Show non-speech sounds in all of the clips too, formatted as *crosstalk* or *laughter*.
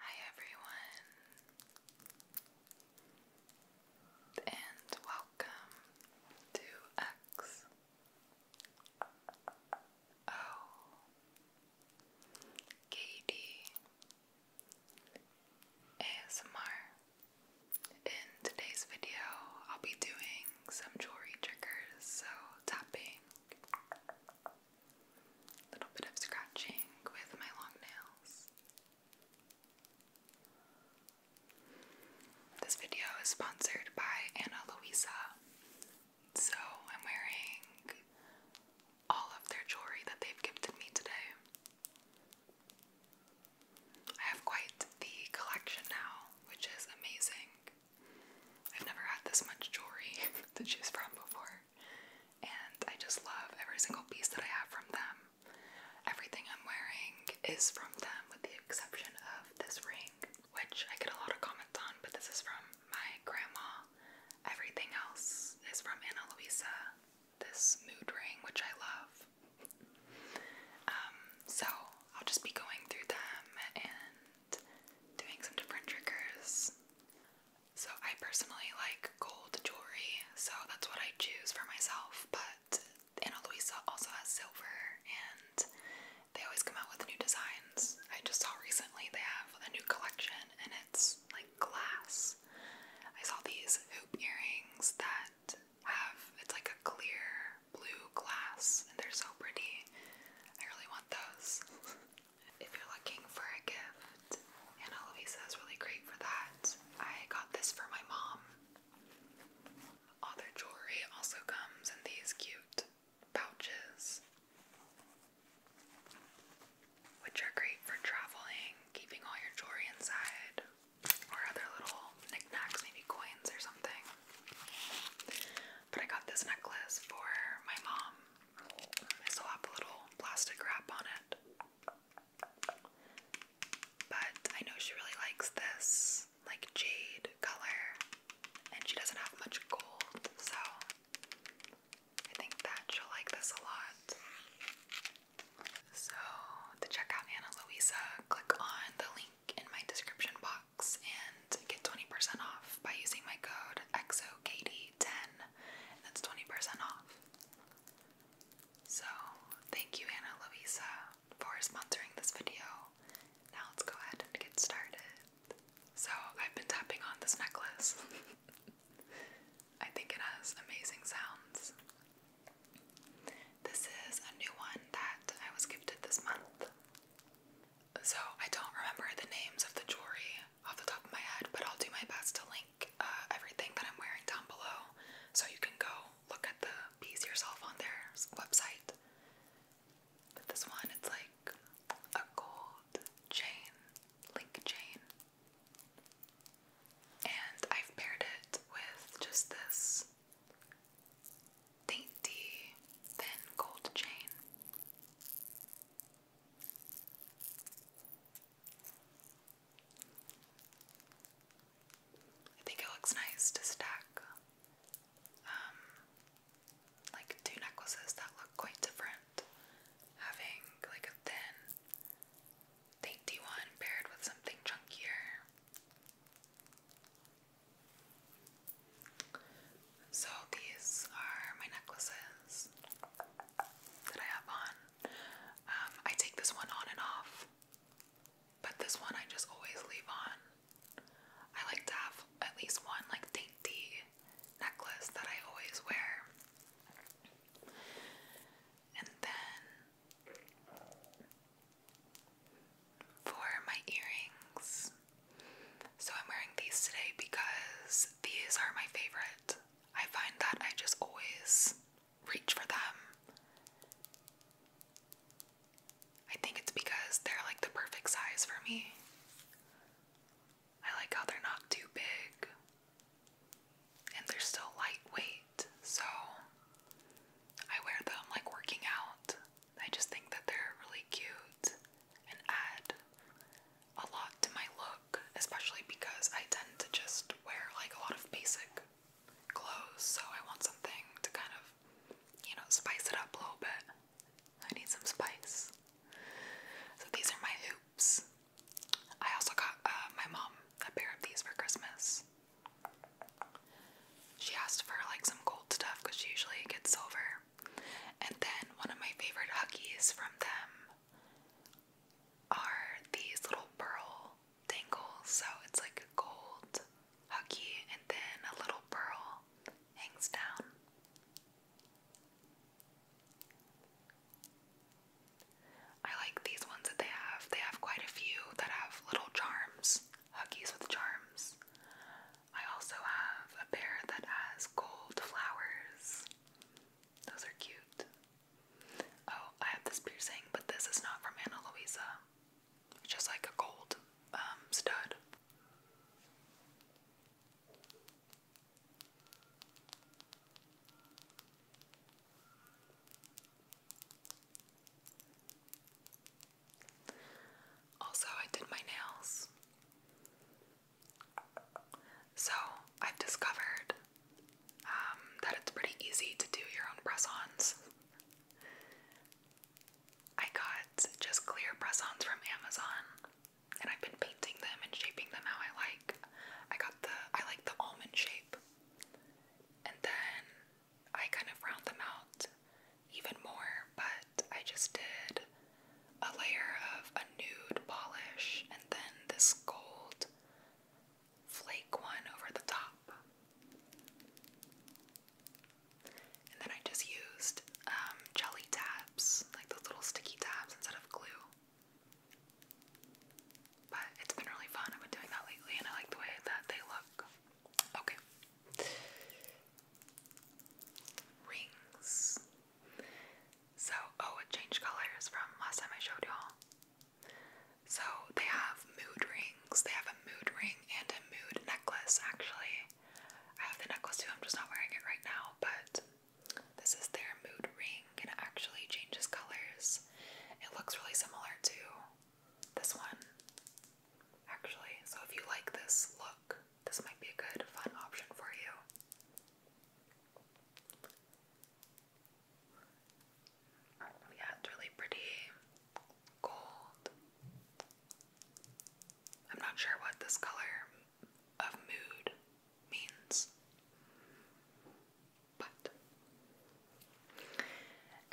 Hi everyone, and welcome to X O oh. K D ASMR. In today's video, I'll be doing some jewelry triggers, so tapping a little bit of scratching with my long nails. This video is sponsored by Ana Luisa. So I'm wearing all of their jewelry that they've gifted me today. I have quite the collection now, which is amazing. I've never had this much jewelry *laughs* to choose from before, and I just love every single piece that I have from them. Everything I'm wearing is from them, with the exception of this ring, which I get a lot of comments on, but this is from my grandma. Everything else is from Ana Luisa. This mood ring, which I love. Um, so I'll just be going through them and doing some different triggers. So, I personally like gold jewelry, so that's what I choose for myself. But Ana Luisa also has silver, and they always come out with new designs. I just saw recently they have a new collection, and it's like glass. I saw these hoop earrings that have it's like a clear blue glass, and they're so pretty. I really want those. *laughs* If you're looking for a gift, Ana Luisa is really great for that. I got this for my mom. All jewelry also comes in these cute pouches, which are great for traveling, keeping all your jewelry inside, or other little knickknacks, maybe coins or something. But I got this necklace for my mom. I still have a little plastic wrap on it. But I know she really likes this like jade color and she doesn't have much gold, so I think that she'll like this a lot. So, to check out Ana Luisa, click on the link in my description box and get 20% off by using my code XOKD 10 That's 20% off. So, thank you, Anna Luisa, for sponsoring this video. Now, let's go ahead and get started. So, I've been tapping on this necklace. *laughs* I think it has amazing sounds. This is a new one that I was gifted this month. So I don't remember the names of the jewelry off the top of my head, but I'll do my best to link uh, everything that I'm wearing down below so you can go look at the piece yourself on their website. But this one, it's like a gold chain, link chain. And I've paired it with just this dainty, thin gold chain. I think it looks nice to stack um, like two necklaces that look quite different. Having like a thin, dainty one paired with something chunkier. So these are my necklaces that I have on. Um, I take this one on and off, but this one I just always leave on. I like to have at least one like dainty necklace that I always wear. And then for my earrings, so I'm wearing these today because these are my favorite. I find that I just always reach for them. I think it's because they're like the perfect size for me. I like how they're not too big and they're still lightweight, so I wear them like working out. I just think that they're really cute and add a lot to my look, especially because I tend to just wear like a lot of basic clothes, so I want something to kind of, you know, spice it up a little bit. I need some spice. So these are my hoops. I also got uh, my mom a pair of these for Christmas. She asked for like some gold stuff because she usually gets silver. And then one of my favorite huggies from them are these little pearl dangles. So it's like a gold huggy and then a little pearl hangs down. I like these ones that they have. They have quite a few that have little charms, huggies with charms. I also have a pair that has gold flowers. Those are cute. Oh, I have this piercing, but this is not from Anna Luisa. It's just like a gold um, stud. Also, I did my nails. So, I've discovered um, that it's pretty easy to do your own press ons. I got just clear press ons from Amazon, and I've been painting them and shaping them how I like. I got the, I like the almond shape, and then I kind of round them out even more, but I just did a layer of a nude polish and then this gold flake one over the top. And then I just used um, jelly tabs, like those little sticky tabs instead of glue. But it's been really fun. I've been doing that lately and I like the way that they look. Okay rings. So, oh, it changed colors from last time I showed y'all. So, they have mood rings. They have a mood ring and a mood necklace, actually. I have the necklace too, I'm just not wearing it right now, but this is their mood ring and it actually changes colors. It looks really similar to this one, actually. So, if you like this look, this might be a good, fun option for you. Yeah, it's really pretty gold. I'm not sure what this color of mood means, but.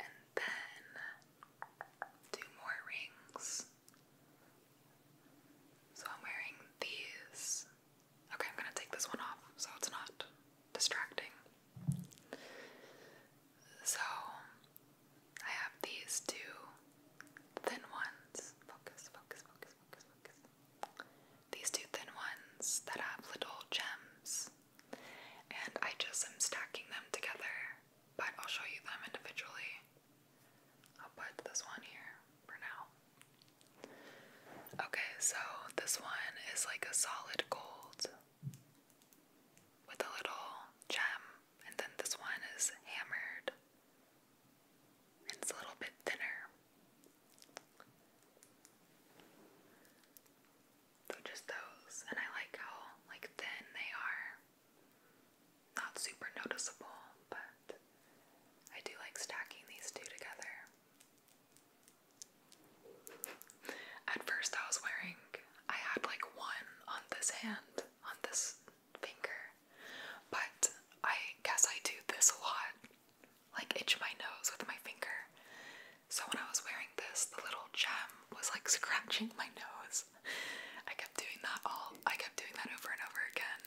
And then two more rings. So I'm wearing these. Okay, I'm gonna take this one off so it's not distracting. So I have these two thin ones. Focus, focus, focus, focus, focus. These two thin ones that have little gems. And I just am stacking them together but I'll show you them individually. I'll put this one here for now. Okay, so this one is like a solid gold with a little gem, and then this one is hammered it's a little bit thinner. So just those, and I like how like thin they are. Not super noticeable, but I do like stacking these two together. At first, I was wearing, I had like one on this hand, on this finger, but I guess I do this a lot like, itch my nose with my finger. So when I was wearing this, the little gem was like scratching my nose, I kept doing that all I kept doing that over and over again.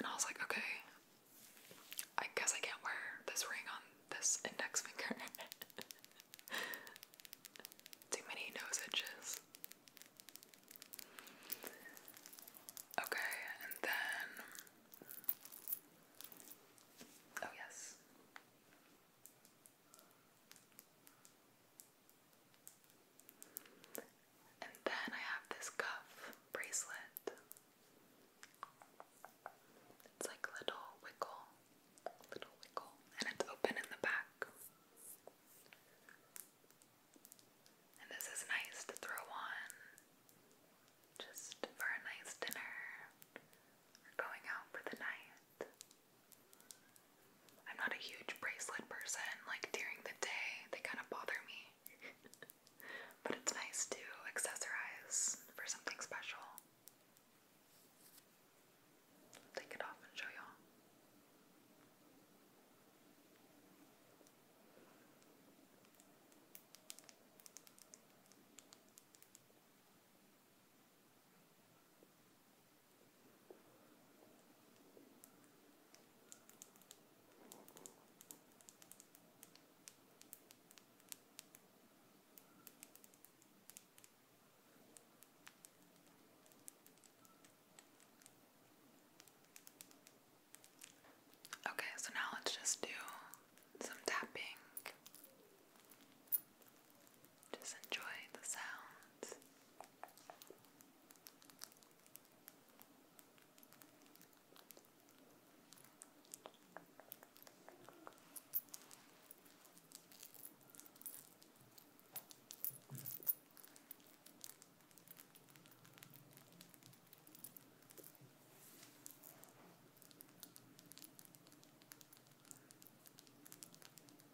And I was like, okay, I guess I can't wear this ring on this index finger. *laughs* Too many nose edges. Okay, and then Oh yes. And then I have this cuff bracelet. It's like little wiggle, little wiggle, and it's open in the back. And this is nice to throw on just for a nice dinner or going out for the night. I'm not a huge bracelet person, like during the day, they kind of bother me. *laughs* but it's nice to accessorize for something special. take it off and show y'all. Okay, so now let's just do some tapping. Just enjoy the sounds.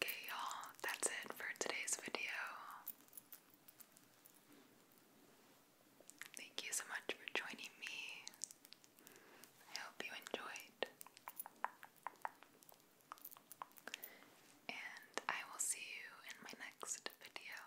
Okay, y'all, that's it for today's video. Thank you so much for joining me. I hope you enjoyed. And I will see you in my next video.